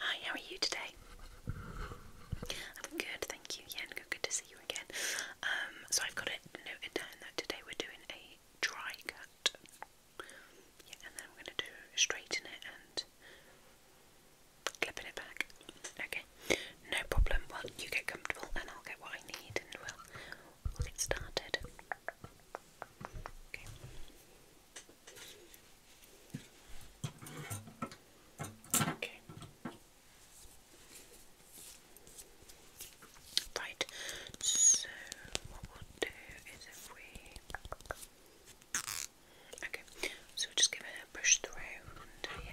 Hi, how are you today? I'm good, thank you. Yeah, good, good to see you again. Um, so I've got it noted down that today we're doing a dry cut. and then I'm going to do straighten it and clipping it back. Okay, no problem. Well, you get comfortable and I'll get what I need and we'll, we'll get started. Okay. Okay. Right, so what we'll do is if we. Okay, so just give it a push through uh, yeah.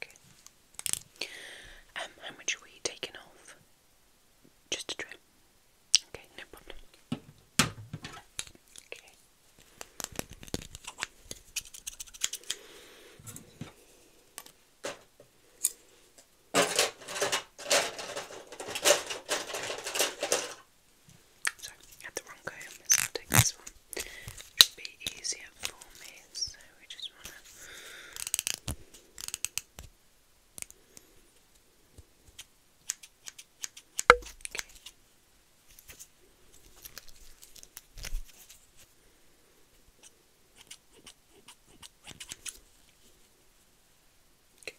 Okay. Um, how much were you taking off? Just a trim. Okay, no problem. Sorry, had the wrong comb, so i take this one. should be easier for me, we just want to okay. Okay. Okay.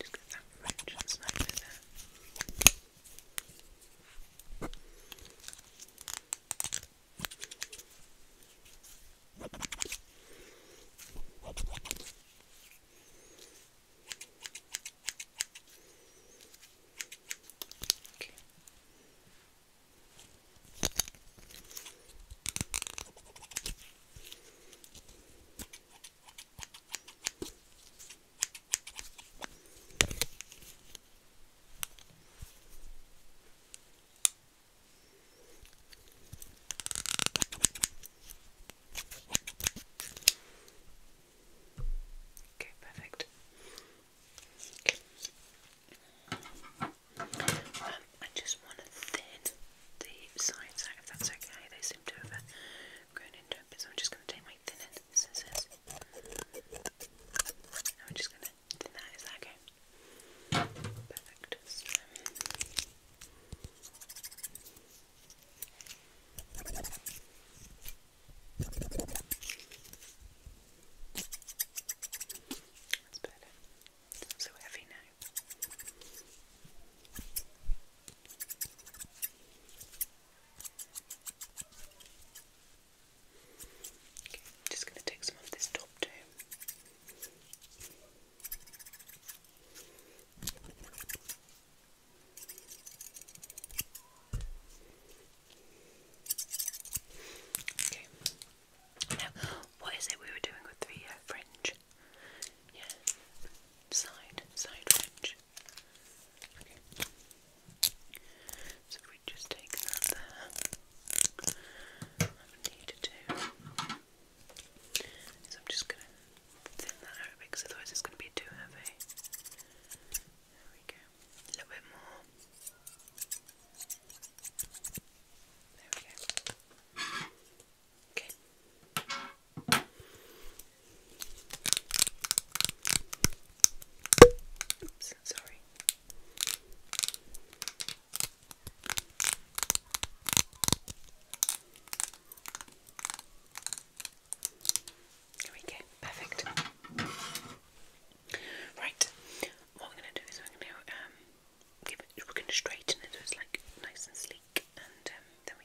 Just get that French and snipe in there. Okay. Okay, perfect. Um, I just want to thin the sides if that's okay. They seem to have I'm so I'm just going to take my thin end scissors. Now I'm just going to thin that. Is that okay? Perfect. That's better. So heavy now just going to take some of this top too. Okay. Now, what is it we were doing with the uh, fringe? Yeah, side, side fringe. Okay. So if we just take that there, I need to do. So I'm just gonna thin that out because otherwise it's gonna be too heavy. There we go. A little bit more. There we go. Okay. Oops, sorry. There we go, perfect. Right, what we're going to do is we're going to um, it, we it nice and sleek, and um, then we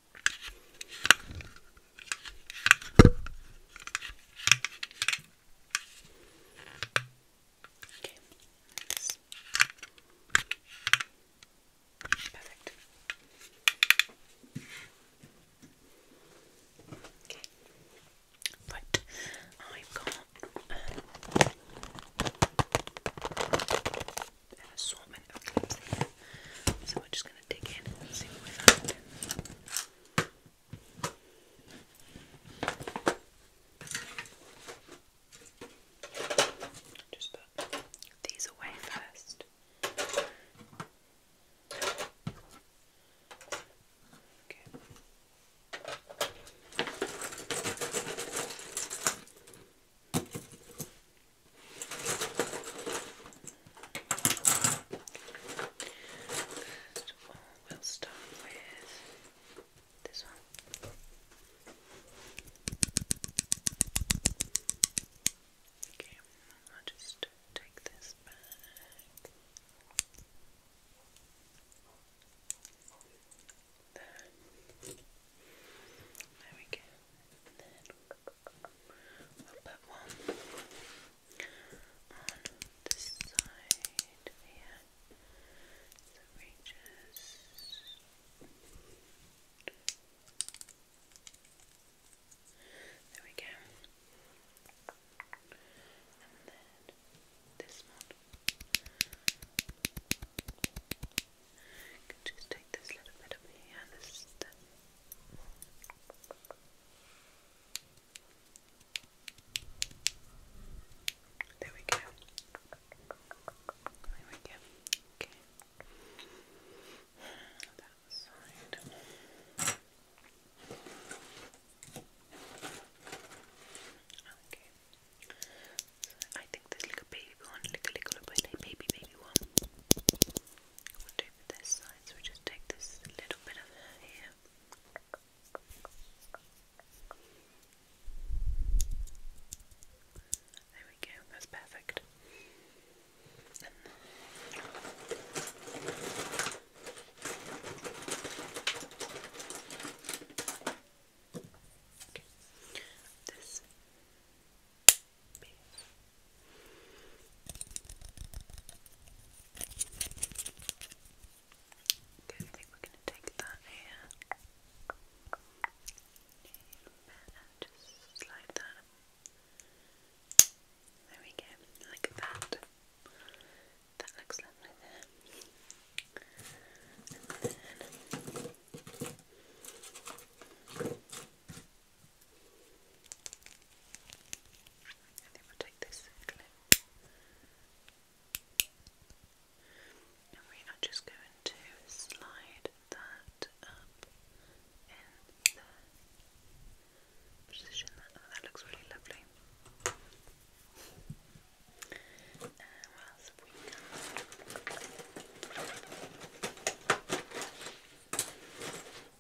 Okay, nice. Perfect. Okay. Right, I've got um, an assortment so we're just going to dig in and see what we find. Just put these away first. Okay. First we'll start with this one. Okay, I'll just take this back. There we go then we one on this side here so it there we go and then this one you can just take this little bit up here and there we go. There we go. Okay. That side. Okay. So I think there's like a baby one, like a little baby, baby, baby one this side, so we just take this little bit of hair here. There we go, that's perfect. This Maybe. Okay, we're going to take that here just slide that. There we go, like that. That looks lovely there. I think And we are just going to slide that up in the position that oh, looks really lovely. And what else have we got?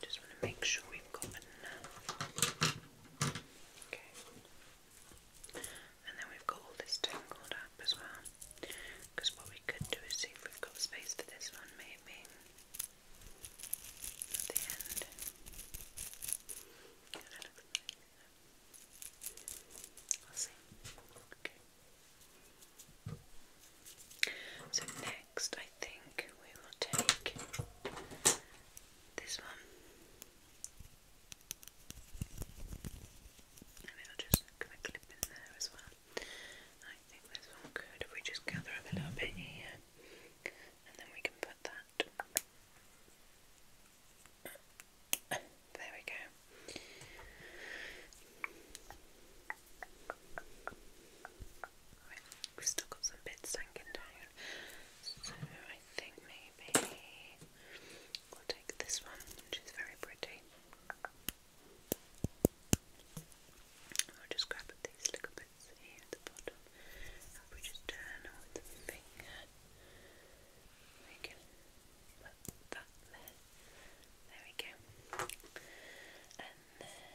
just want to make sure we've got enough. Okay. And then we've got all this tangled up as well. Because what we could do is see if we've got space for this one, maybe. At the end. I'll see. Okay. So next, I think we will take this one, and it'll just can I clip in there as well? I think this one could. If we just gather up a little bit here, and then we can put that. There we go. we still got some bits hanging down, so I think maybe we'll take this one, which is very pretty. I'll just grab at these little bits here at the bottom. And we just turn with the finger. there. we go. And then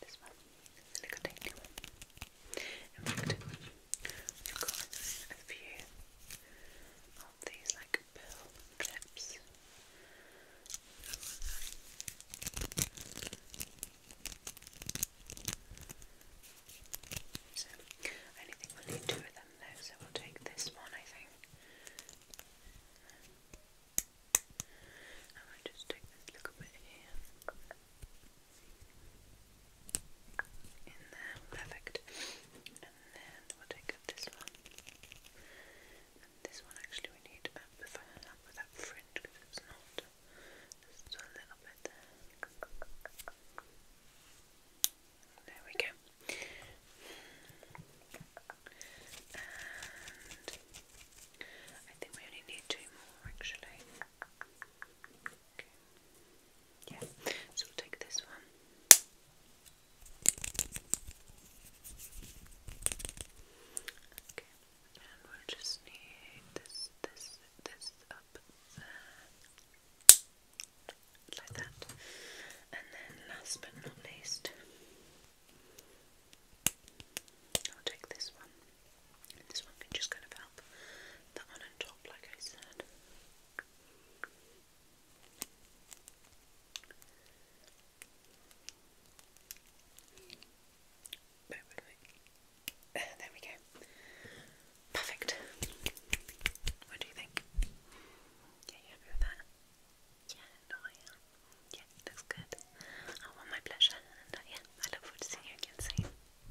this one. The little dainty one. I've got a few of these like pill clips. So I need two of them so we'll take this one I think. I might just take this little bit here in there, perfect. And then we'll this one. this one actually we need up fringe because it's not just a little bit there. There we go. And I think we only need two more actually. Yeah, so take this one. Okay, and we'll just need this, this, this up Like that. And then last but not least, I'll take this one this one can just kind of help that one on top, like I said. Uh, there we go. Perfect. What do you think? Yeah, you Yeah, Yeah, looks good. I want my pleasure, and uh, yeah, I look forward to seeing you again